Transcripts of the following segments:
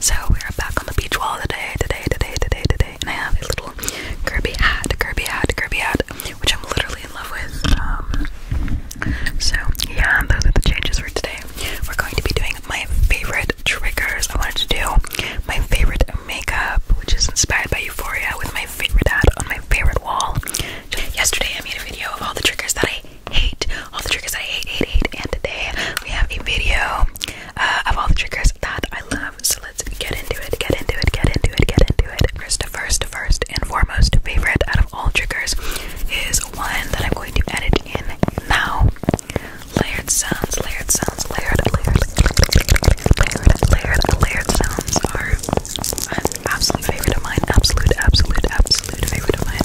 So we are back on the beach wall today, today, today, today, today. And I have a little Kirby hat, Kirby hat, Kirby hat, which I'm literally in love with. Um, so yeah, those are the changes for today. We're going to be doing my favorite triggers. I wanted to do my favorite makeup, which is inspired by Euphoria, with my favorite hat on my favorite wall. Yesterday, I made a video of all the triggers that I hate all the triggers I hate, hate, hate. And today we have a video uh, of all the triggers that I love. So let's get into it, get into it, get into it, get into it. First, first, first and foremost favorite out of all triggers is one that I'm going to edit in now. Layered sounds, layered sounds, layered, layered, layered, layered, layered sounds are an absolute favorite of mine. Absolute, absolute, absolute favorite of mine.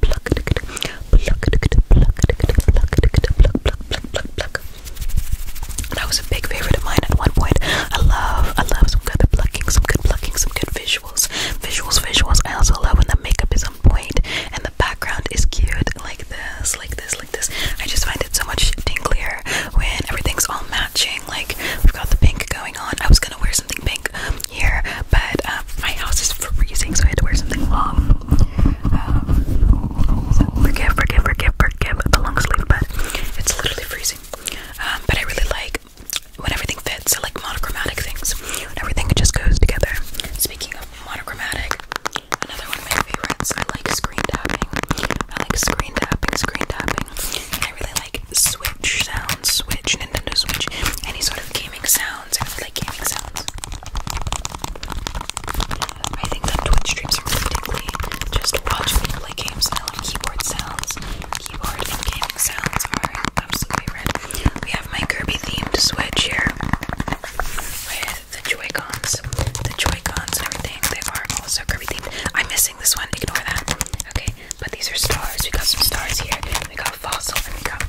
pluck, That was a big favorite of mine at one point. I love, I love some good plucking, some good plucking, some good visuals, visuals, visuals. I also love when the makeup is on point and the background is cute, like this, like this, like this. I just find it so much tinglier when everything's all matching. Like we've got the pink going on. I was gonna wear something pink here, but my house is freezing, so I had to wear something long forgive, forgive, forgive, forgive the long sleeve, but it's literally freezing. Um, but I really like when everything fits, I like monochromatic things. When everything just goes together. Speaking of monochromatic, another one of my favorites. I like screen tapping. I like screen tapping, screen tapping. I really like Switch sounds, Switch, Nintendo Switch, any sort of gaming sound. I think that Twitch streams are really Just watch play games and I love keyboard sounds. Keyboard and gaming sounds are absolutely red. We have my Kirby themed Switch with the joy The joy and everything, they are also Kirby themed. I'm missing this one, ignore that. Okay, but these are stars. We got some stars here. We got fossil we got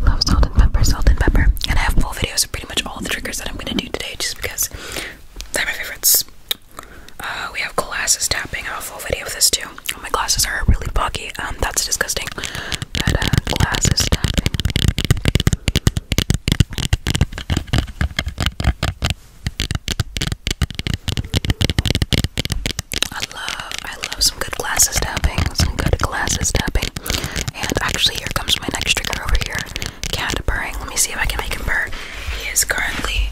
Love salt and pepper, salt and pepper. And I have full videos of pretty much all the triggers that I'm gonna do today just because they're my favorites. Uh, we have glasses tapping. I have a full video of this too. my glasses are really boggy. Um, that's disgusting. But uh, glasses tapping. I love, I love some good glasses tapping, some good glasses tapping. And actually, here comes my next trigger over here. Cat burr. Let me see if I can make him burr. He is currently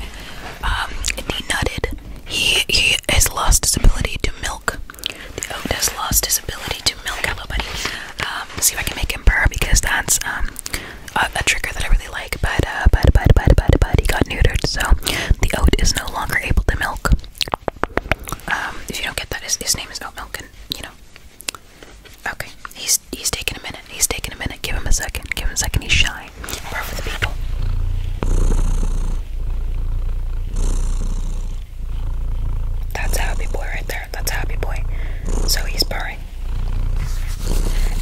um, denutted. He he has lost his ability to milk. The oat has lost his ability to milk. Everybody. Um, see if I can make him burr because that's um a, uh, a trigger that I really like, but, uh, but, but, but, but, but he got neutered, so the oat is no longer able to milk. Um, if you don't get that, his, his name is Oat Milk, and you know. Okay, he's he's taking a minute. He's taking a minute. Give him a second. Give him a second. He's shy. Part for the people. That's a happy boy right there. That's a happy boy. So he's purring.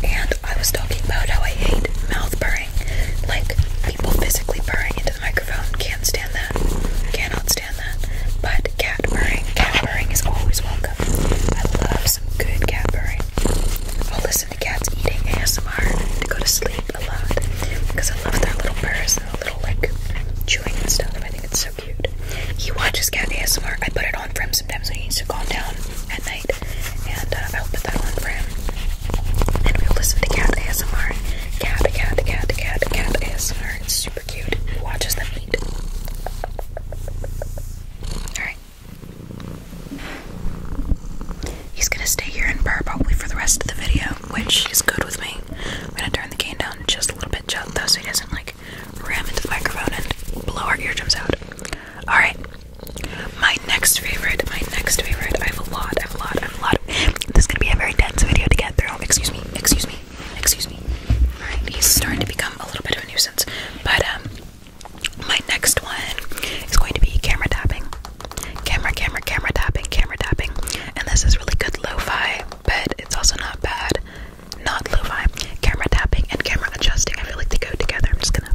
And I was talking about how I hate mouth purring. Like, people physically purring into the microphone. Can't stand that. Can't stand that. But cat purring, cat purring is always welcome. I love some good cat purring. I'll listen to cats eating ASMR to go to sleep a lot. Because I love their little purrs and their little, like, chewing and stuff. I think it's so cute. He watches cat ASMR. I put it on for him sometimes when he needs to calm down at night and uh, I'll put that on for him. And we'll listen to cat ASMR. Cat, cat, cat, cat, cat ASMR. It's super cute. Watches them eat. Alright. He's gonna stay here and purr probably for the rest of the video, which is good with me. I'm gonna turn the cane down just a little bit, just though, so he doesn't like ram into the microphone and blow our eardrums out. Alright, my next favorite, my next favorite. I have a lot, I have a lot, I have a lot. This is gonna be a very dense video to get through. Excuse me, excuse me, excuse me. Alright, he's starting to become a little bit of a nuisance. But um my next one is going to be camera tapping. Camera, camera, camera tapping, camera tapping. And this is really good lo-fi, but it's also not bad. Not lo-fi. Camera tapping and camera adjusting. I feel like they go together. I'm just gonna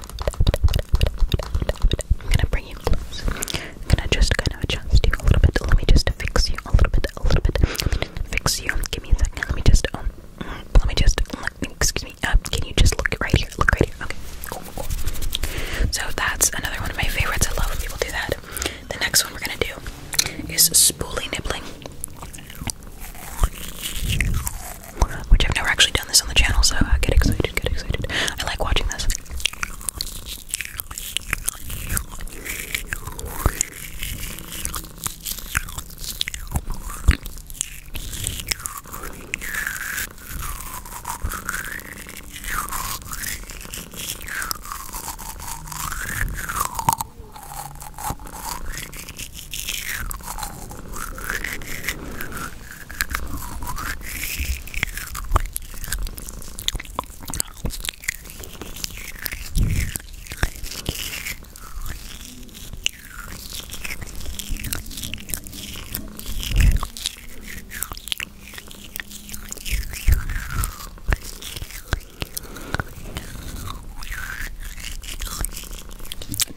I'm gonna bring you close. I'm gonna just kind of adjust you a little bit. Let me just fix you a little bit, a little bit. Fix you. Give me a second. Let me just, um, let me just, let me, excuse me. Uh, can you just look right here? Look right here. Okay, cool, cool. So that's another one of my favorites. I love when people do that. The next one we're gonna do is spoolie nibbling which I've never actually done this on the channel, so uh, get excited, get excited. I like watching this.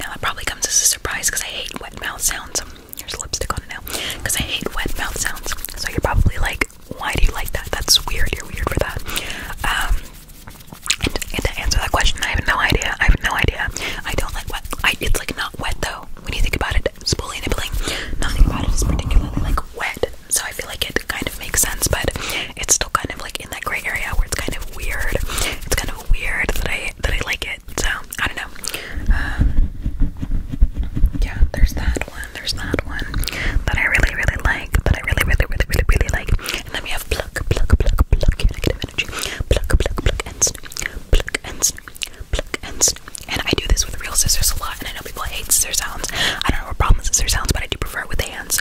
Now it probably comes as a surprise because I hate wet mouth sounds. There's lipstick on it now. Because I hate wet mouth sounds. So you're probably like, why do you like that? That's weird. You're weird for that. Um, and, to answer that question, I have no idea. I have no idea. I don't like wet. I, it's like not wet though. When you think about it, spoolie nibbling, nothing about it is particularly like wet. So I feel like it kind of makes sense, but it's still kind of like in that gray area where it's kind of weird. It's kind of weird that I that I like it. So I don't know. Um, yeah, there's that one. There's that one that I really really like. That I really really really really really like. And then we have pluck pluck pluck pluck negative energy. Pluck pluck pluck and Pluck and Pluck and And I do this with real scissors a lot. And I know people hate scissors sounds. I don't know what problems with sounds, but I do prefer with the hands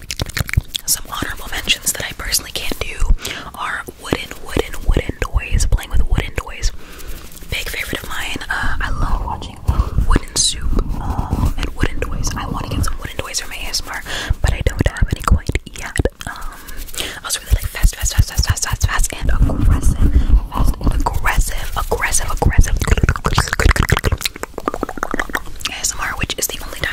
some honorable mentions that I personally can't do are wooden, wooden, wooden toys. Playing with wooden toys. Big favorite of mine. Uh, I love watching wooden soup um, and wooden toys. I want to get some wooden toys for my ASMR, but I don't have any quite yet. Um, I also really like fast, fast, fast, fast, fast, fast, fast, and aggressive, fast and aggressive, aggressive, aggressive. ASMR, which is the only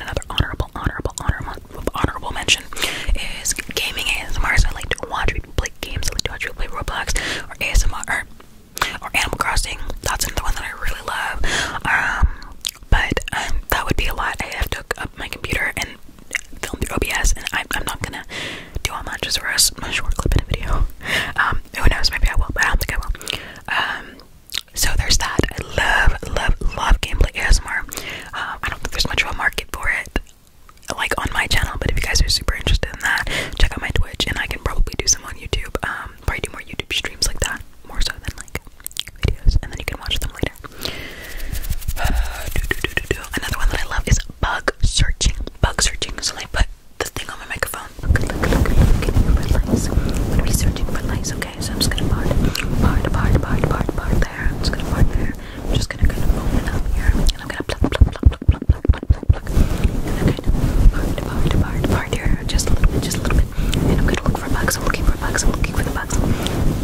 another honorable, honorable, honorable, honorable mention is gaming ASMR. I like to watch people play games. I like to watch people play Roblox or ASMR or, Animal Crossing. That's another one that I really love. Um, but um, that would be a lot. I have to up my computer and film through OBS, and I, am not gonna do all that just for A short clip in a video. Um, who knows? Maybe I will, but I don't think I will. So there's that. I love, love, love gameplay ASMR. Um, I don't think there's much of a market for it, like on my channel. But if you guys are super interested in that, check out my Twitch, and I can probably do some on YouTube. Um, probably do more YouTube streams like that, more so than like videos, and then you can watch them later. Another one that I love is bug searching. Bug searching. So I put the thing on my microphone Look, look, look, look, look at your red lights. What are we searching for lights? Okay, so I'm just gonna part, part, part, part, part, part there. I'm just gonna part there. I'm just gonna kind of open up here, and I'm gonna pluck, pluck, pluck, pluck, pluck, pluck, pluck, pluck, pluck. And I'm gonna part, part, part, part here, just a little bit, just a little bit. And I'm gonna look for bugs. I'm looking for bugs. I'm looking for the bugs.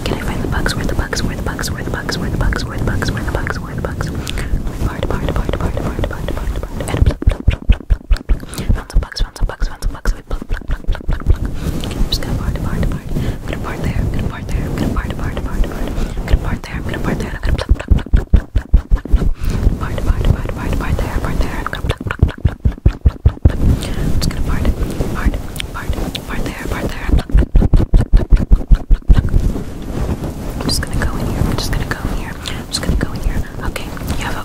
Can I find the bugs? Where the bugs? Where the bugs? Where the bugs? Where the bugs? Where the bugs? Where the bugs? Where the bugs? Part, part, part, part, part, part, part, part, and pluck, pluck, pluck, pluck, pluck, pluck. Found some bugs. Found some bugs. Found some bugs pluck, pluck, pluck, pluck, pluck, pluck, pluck. I'm just gonna part, part, part. I'm gonna part there, I'm gonna part there, I'm gonna part, part, part, part. I'm gonna part there, I'm gonna part there, I'm gonna pluck, pluck, pluck, pluck, pluck, pluck, pluck, pluck, pluck. Part, part, part, part, part there, part there. I'm gonna pluck, pluck, pluck, pluck, pluck, pluck, pluck, pluck. I'm just gonna part, part, part, part there, part there. Pluck, pluck, pluck, pluck, pluck, pluck, pluck, pluck, pluck. I'm just gonna go in here. I'm just gonna go in here. I'm just gonna go in here. Okay, you have a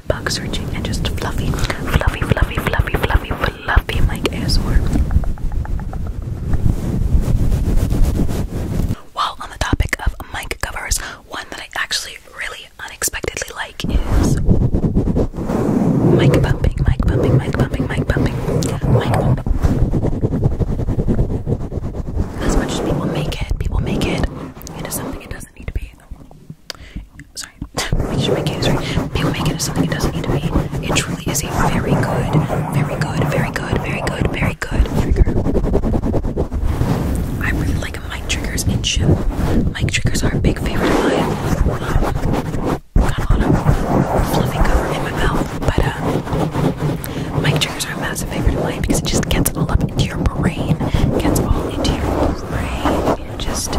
like bug searching and just fluffy, fluffy, fluffy, fluffy, fluffy, fluffy, like ASMR. While on the topic of mic covers, one that I actually really unexpectedly like is mic bumping, mic bumping, mic bumping, mic bumping, mic bumping. As much as people make it, people make it into something it doesn't need to be sorry, make sure my case right. People make it as something it doesn't need to be. It truly is a very good, very good, very good, very good, very good trigger. I really like mic triggers in show. Mic triggers are a big favorite of mine. Um, got a lot of fluffy cover in my mouth, but uh, mic triggers are a massive favorite of mine because it just gets all up into your brain, gets all into your brain, and just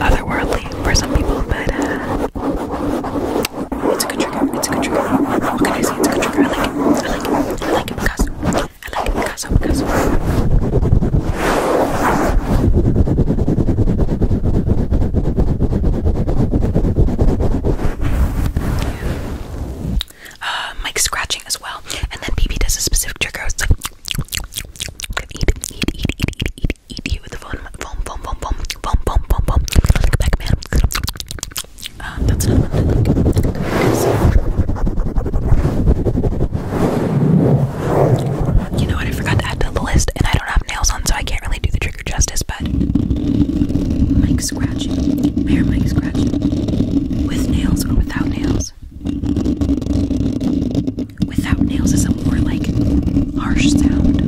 otherworldly for some people, but uh, it's a good trigger. It's a good trigger. What can I say? It's a good trigger. I like it. I like it. I like it because I like it because because. Uh, Mike's scratching as well, and then BB does a specific trigger. It's like eat, eat, eat, eat, eat, eat, you know what? I forgot to add to the list, and I don't have nails on, so I can't really do the trigger justice. But mic scratching, hair mic scratching, with nails or without nails without nails is a more like harsh sound.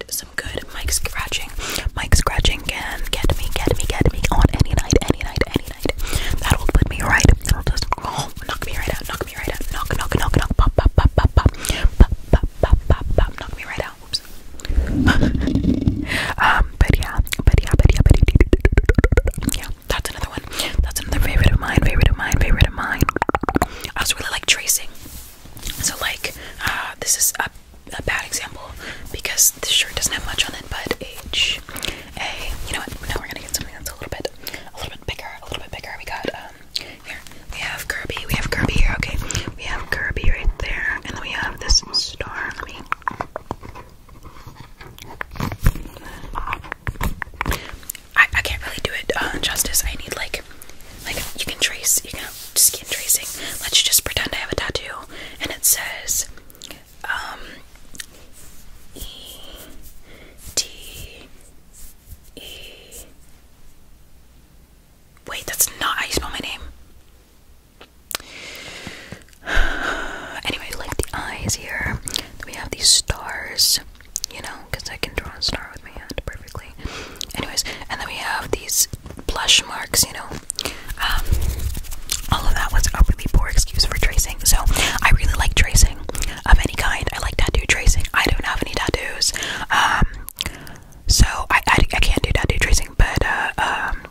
But some good mic scratching, mic scratching can get me, get me, get me on any night, any night, any night. That'll put me right. That'll just oh, knock me right out, knock me right out, knock, knock, knock, knock, pop, pop, pop, pop, pop, pop, pop, pop, pop, pop, knock me right out. Oops. um, but yeah, but yeah, but yeah, but yeah. yeah. That's another one. That's another favorite of mine, favorite of mine, favorite of mine. I also really like tracing. So like uh, this is a, a bad example because this shirt doesn't have much on it but H A you know what now we're gonna get something that's a little bit a little bit bigger a little bit bigger we got um here we have Kirby we have Kirby here okay we have Kirby right there and then we have this star let me I, I can't really do it uh, justice I need like like you can trace, you know, skin tracing. Let's just pretend I have a tattoo and it says um Wait, that's not how you spell my name. Anyway, like the eyes here, we have these stars you know, because I can draw a star with my hand perfectly. Anyways, and then we have these blush marks, you know. Um, all of that was a really poor excuse for tracing. So I really like tracing of any kind. I like tattoo tracing. I don't have any tattoos. Um, so I, I, can't do tattoo tracing, but, uh, um,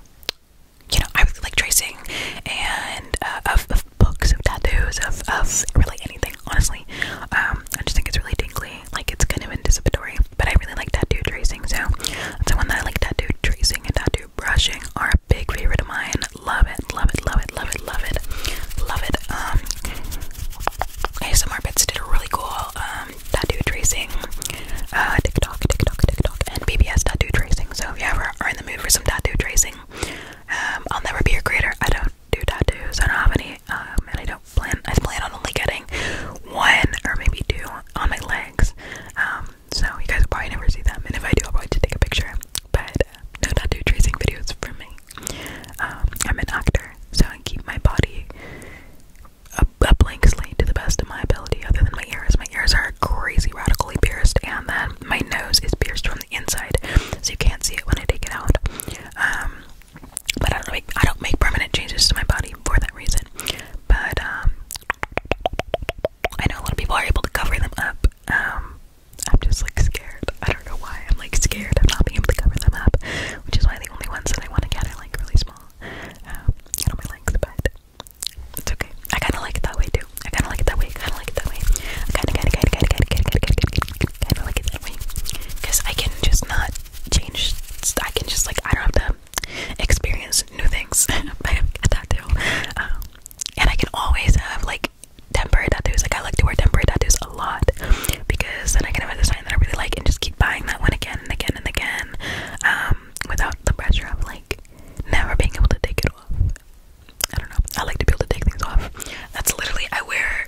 you know, I like tracing and uh, of, books, of tattoos, of, of really anything, honestly. Um, I just think it's really tingly like it's kind of anticipatory. But I really like tattoo tracing, so that's the one that I like. Tattoo tracing and tattoo brushing are a big favorite of mine. Love it, love it, love it, love it, love it, love it. Um, ASMR Bits did a really cool um tattoo tracing, uh, TikTok, TikTok, TikTok, and BBS tattoo tracing. So if you ever are in the mood for some tattoo tracing, um, I'll never be your creator. I don't do tattoos. I don't have any, um, and I don't plan. I plan on only getting one or maybe two on my legs. Um, so you guys will probably never see them, and if I do, I'll probably just take a picture. But uh, no tattoo tracing videos for me. Um, I'm an actor, so I keep my body a, blank slate to the best of my ability. Other than my ears, my ears are crazy radically pierced, and then my nose is pierced from the inside, so you can't see it when I take it out. But I don't make I don't make permanent changes to my body for that reason. But um, I know a lot of people are able to cover them up. Um, I'm just like scared. I don't know why. I'm like scared of not being able to cover them up, which is why the only ones that I want to get are like really small. Um, I don't my legs, but it's okay. I kind of like it that way too. I kind of like it that way. I kind of like it that way. I kind of, kind of, kind of, kind of, kind of, kind of, kind of like it that way. Because I can just not change. I can just like I don't have to experience new things. I have a tattoo, um, and I can always have like temporary tattoos. Like I like to wear temporary tattoos a lot because then I can have the sign that I really like and just keep buying that one again and again and again um, without the pressure of like never being able to take it off. I don't know. I like to be able to take things off. That's literally I wear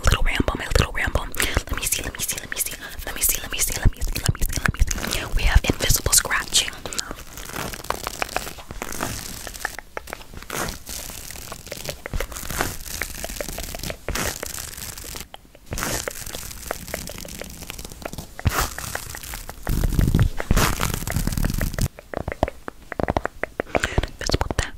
little ramble, my little ramble. Let me see, let me see, let me see, let me see, let me see, let me see, let me see, let me see. Let me see. We have invisible scratching. Invisible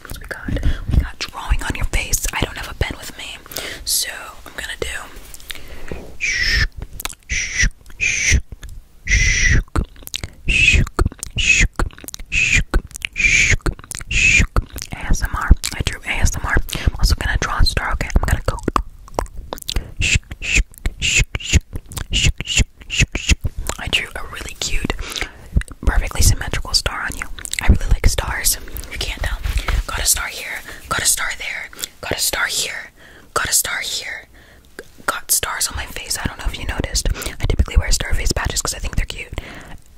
Oh we got? drawing on your face. I don't have a pen with me. So I'm gonna do shook, shook, shook, shook, shook, shook, shook, shook, shook. ASMR. I drew ASMR. I'm also gonna draw a star, okay? I'm gonna go shook, shook, shook, shook, shook, shook, shook. I drew a really cute perfectly symmetrical star on you. I really like stars. You can't tell. Got a star here. Got a star there. Got a star here. Got a star here. Got stars on my face. I don't know if you noticed. I typically wear star face patches because I think they're cute,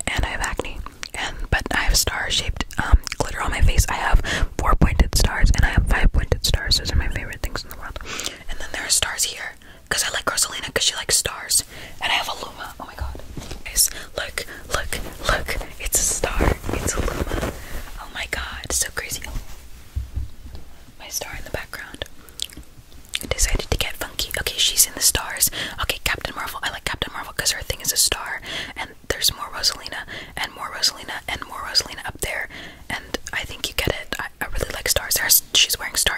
and I have acne. And but I have star-shaped um, glitter on my face. I have four-pointed stars, and I have five-pointed stars. Those are my favorite things in the world. And then there are stars here. Because I like Rosalina because she likes stars. And I have a Luma. Oh my god. Guys, look, look, look. It's a star. It's a Luma. Oh my god. So crazy. My star in the background. decided to get funky. Okay, she's in the stars. Okay, Captain Marvel. I like Captain Marvel because her thing is a star. And there's more Rosalina and more Rosalina and more Rosalina up there. And I think you get it. I, really like stars. Her, she's wearing stars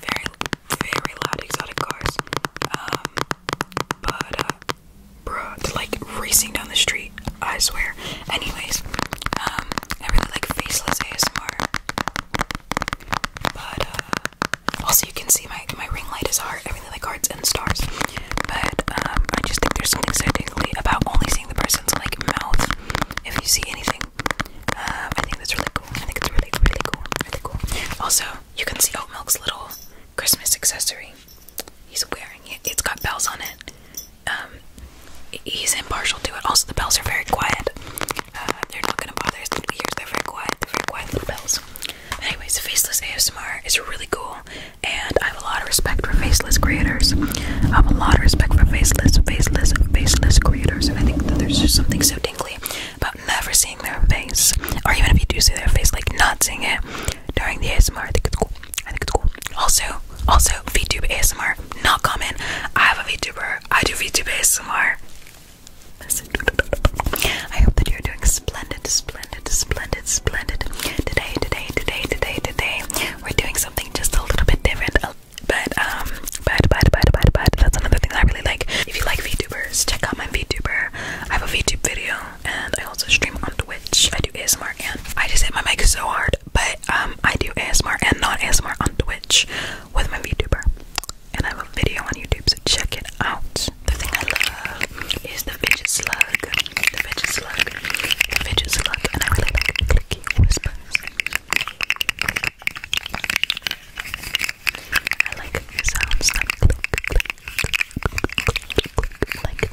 very, very loud exotic cars. Um, but, uh, bruh, like racing down the street, I swear. Anyways, um, I really like faceless ASMR. But, uh, also you can see my, my ring light is art. I really like hearts and stars. But, um, I just think there's something exciting about only seeing the person's, like, mouth if you see anything. Um, I think that's really cool. I think it's really, really cool. Also, you can see Oat Milk's little Christmas accessory. He's wearing it. It's got bells on it. Um, he's impartial to it. Also, the bells are very quiet. Uh, they're not gonna bother us. We hear they're very quiet. They're very quiet little bells. anyways, faceless ASMR is really cool, and I have a lot of respect for faceless creators. I have a lot of respect for faceless, faceless, faceless creators, and I think that there's just something so tingly about never seeing their face, or even if you do see their face, like not seeing it during the ASMR. I think it's cool. I think it's cool. Also, also VTube ASMR, not common. I have a VTuber. I do VTube ASMR. I hope that you're doing splendid, splendid, splendid, splendid. Today, today, today, today, today, we're doing something just a little bit different, a but um, but but but but but that's another thing I really like. If you like VTubers, check out my VTuber. I have a VTube video, and I also stream on Twitch. I do ASMR, and I just hit my mic so hard. But um, I do ASMR and not ASMR on Twitch with my VTuber, and I have a video on YouTube, so check it out. The thing I love is the fidget slug, the fidget slug, the fidget slug, and I really like clicky whispers. I like the sounds that click, click, click, click, like this.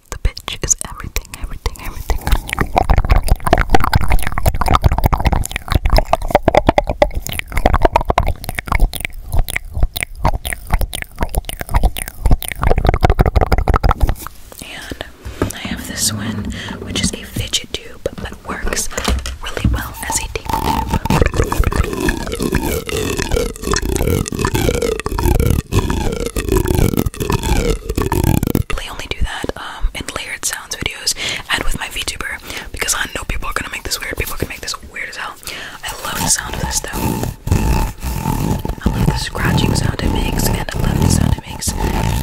The bitch is everything, everything, everything. And I have this one, which is a fidget tube, but works really well as a deep tube. I only do that um, in layered sounds videos and with my VTuber because I know people are gonna make this weird. People can make this weird as hell. I love the sound of this though. I love the scratching sound it makes and I love the sound it makes.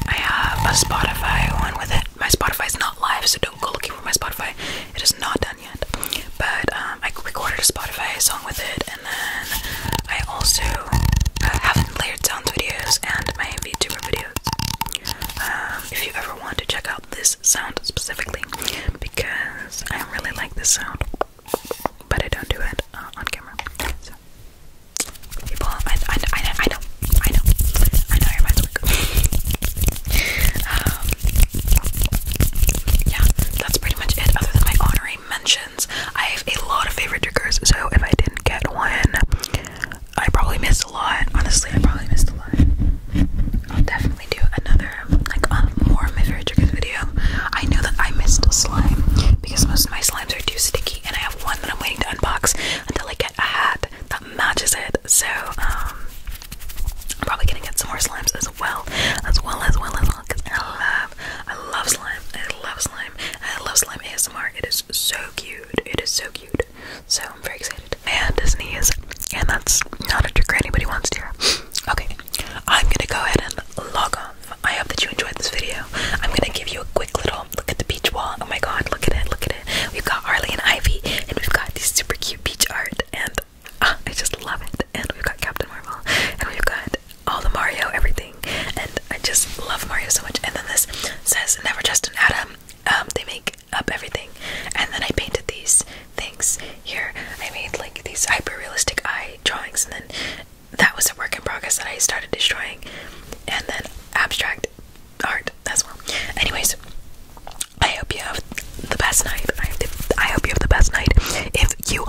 I have a Spotify one with it. My Spotify is not live, so don't go looking for my Spotify. It is not done yet. But um, I recorded a Spotify song with it then I also uh, haven't layered sound videos and my VTuber videos. Um, if you ever want to check out this sound specifically, because I really like this sound, but I don't do it uh, on camera. So, people, I, I, I, I know, I know, I know your mind's work. um, yeah, that's pretty much it, other than my honorary mention recommendations. I have a lot of favorite triggers, so if I didn't get one, I probably missed a lot. Honestly, I probably missed a lot. I'll definitely do another, like, um, more of my favorite triggers video. I know that I missed a slime because most of my slimes are too sticky, and I have one that I'm waiting to unbox until I get a hat that matches it. So, um, I'm probably gonna get some more slimes as well, as well as well as well, because I love I love slime. I love slime. I love slime ASMR. It is so cute. It is so cute. So I'm very excited. And Disney is, and that's not a trick or anybody wants to hear. Okay, I'm gonna go ahead and log off. I hope that you enjoyed this video. I'm gonna give you a quick little look at the beach wall. Oh my god, look at it, look at it. We've got Harley and Ivy, and we've got these super cute beach art, and ah, I just love it. And we've got Captain Marvel, and we've got all the Mario, everything, and I just love Mario so much. And then this says Never Trust an Atom. Um, they make up everything, and then I painted these things here. I made like these hyper realistic eye drawings, and then that was a work in progress that I started destroying, and then abstract art as well. Anyways, I hope you have the best night. I, hope you have the best night. If you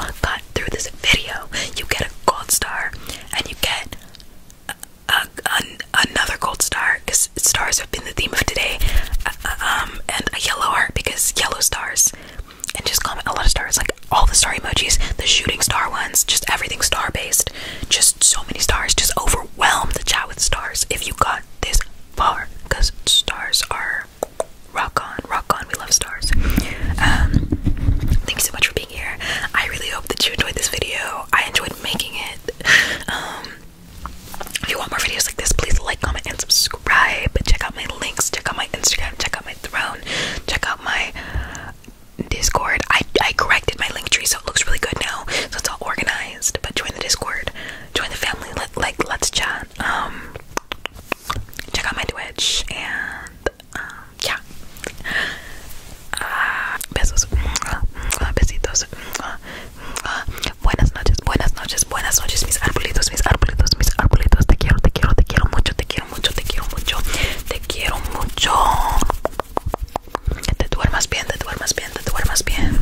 through this video, you get a gold star and you get a, another gold star because stars have been the theme of today, uh, uh, um, and a yellow heart because yellow stars. And just comment a lot of stars, like all the star emojis, the shooting star ones, just everything star based. Just so many stars, just overwhelm the chat with stars if you got this far because stars are rock on, rock on. We love stars. Um, thank you so much for being here. I really hope that you enjoyed this video. I enjoyed making it. Um, if you want more videos like this, please like, comment, and subscribe. Check out my links. Check out my Instagram. Check out my throne. Check out my Discord. I I corrected my link tree, so it looks really good now. So it's all organized. But join the Discord. Join the family. Let, like let's chat. Um, check out my Twitch and. Um, ya ah, besos ah, besitos ah, buenas noches buenas noches buenas noches mis arbolitos mis arbolitos mis arbolitos te quiero te quiero te quiero mucho te quiero mucho te quiero mucho te quiero mucho te duermas bien te duermas bien te duermas bien